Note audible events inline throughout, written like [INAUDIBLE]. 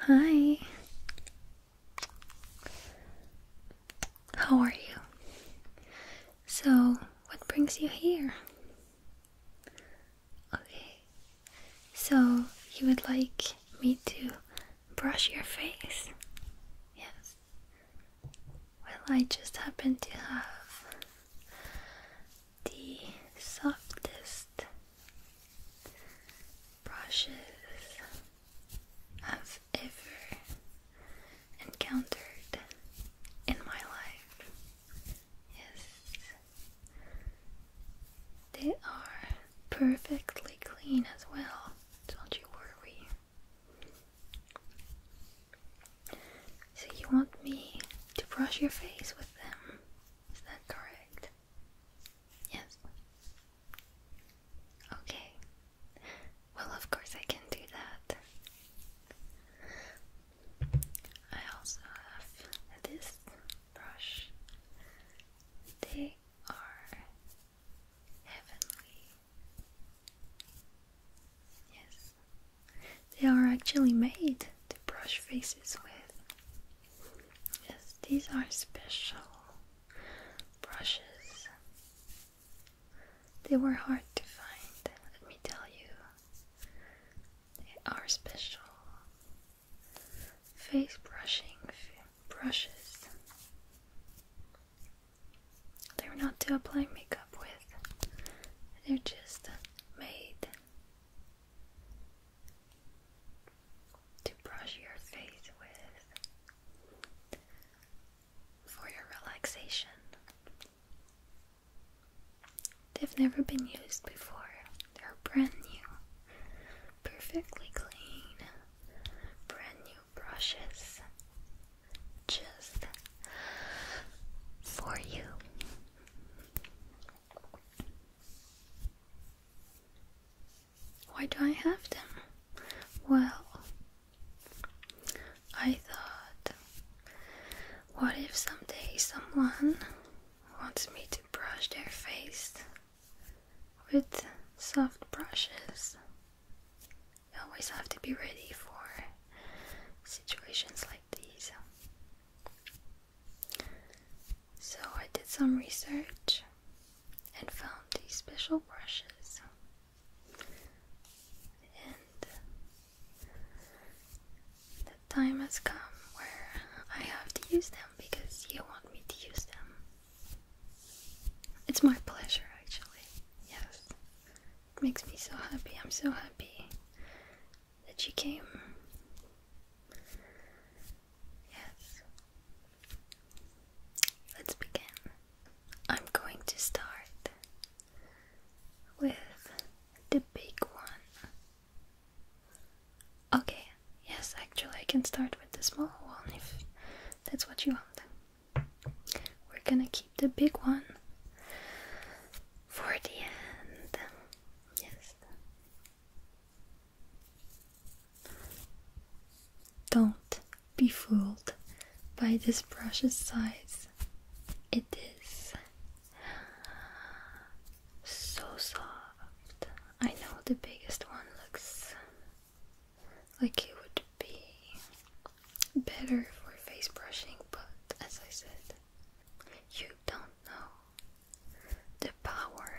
Hi. How are you? So, what brings you here? Okay. So, you would like me to brush your face? Yes. Well, I just happen to have the softest brushes I've ever encountered in my life. Yes, they are perfectly clean as well, don't you worry. So you want me to brush your face with them? Is that correct? Yes. Okay. Well, of course I can do that. I also have this brush. They are heavenly. Yes they are actually made to brush faces with. Yes, these are special brushes. They were hard to find, let me tell you. They are special face brushing brushes. They're not to apply makeup with, they're just made to brush your face with for your relaxation. They've never been used before, they're brand new, perfectly clean, brand new brushes just for you. Why do I have them? Well, I thought, what if someday someone wants me to brush their face with soft brushes? I always have to be ready for situations like these. So, I did some research and found these special brushes, and the time has come where I have to use them because you want me to use them. It's my pleasure, actually. Yes, makes me so happy. I'm so happy that you came. Yes. Let's begin. I'm going to start with the big one. Okay, yes, actually, I can start with the small one if that's what you want. We're gonna keep the big one for the end. Yes. Don't be fooled by this brush's size. It is so soft. I know the biggest one looks like it would be better for face brushing, but as I said, you don't know the power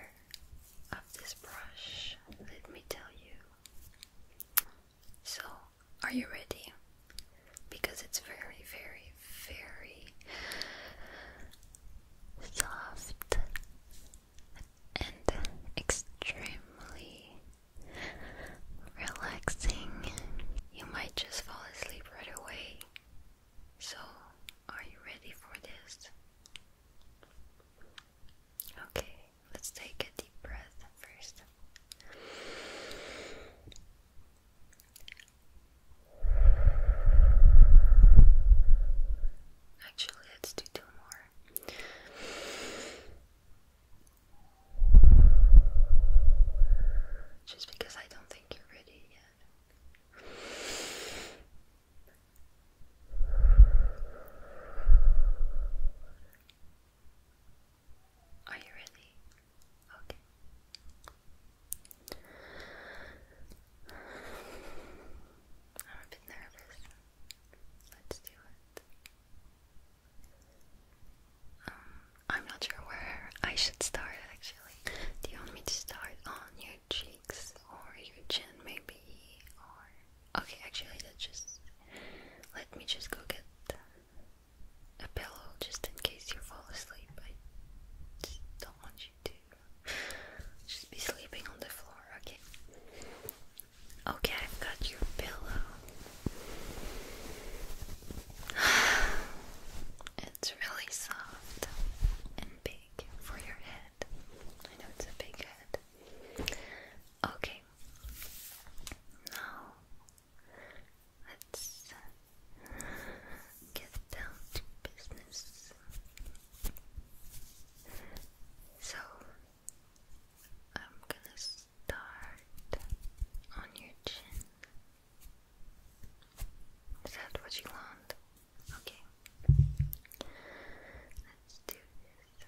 of this brush, let me tell you. So, are you ready? Because it's very, very, very soft and extremely relaxing you might just fall asleep right away. So, are you ready for this? Okay, let's take a deep breath first. Actually, let's do two more. Just because I don't think you're ready yet. Are you ready? Okay. I'm a nervous. Let's do it. Um, I'm not sure where I should start actually. Do you want me to start on your cheeks or your chin maybe? Or okay, actually let's just let me just go get a pillow just in case you fall asleep. I just don't want you to just be sleeping on the floor, okay? Okay, I've got your pillow. [SIGHS] It's really soft and big for your head. I know it's a big head. Okay. Now let's get down to business. So I'm gonna start on your chin. Is that what you want? Okay. Let's do this.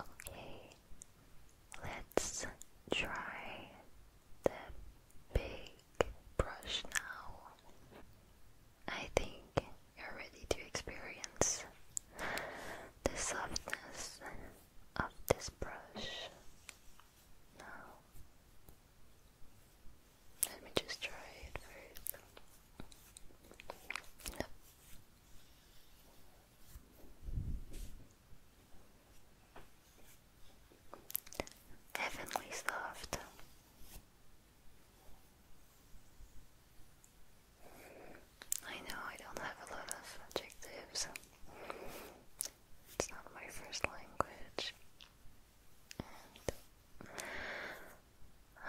Okay, let's try the big brush now. I think you're ready to experience the softness of this brush. Now, let me just try it first. Heavenly soft. I know I don't have a lot of adjectives. It's not my first language. And [SIGHS] I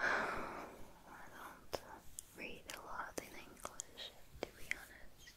don't read a lot in English, to be honest.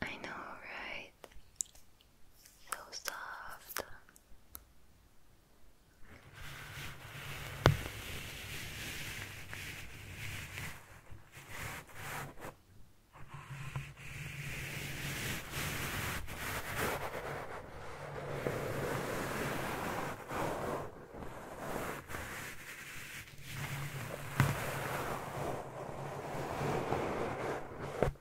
I know, right? So soft.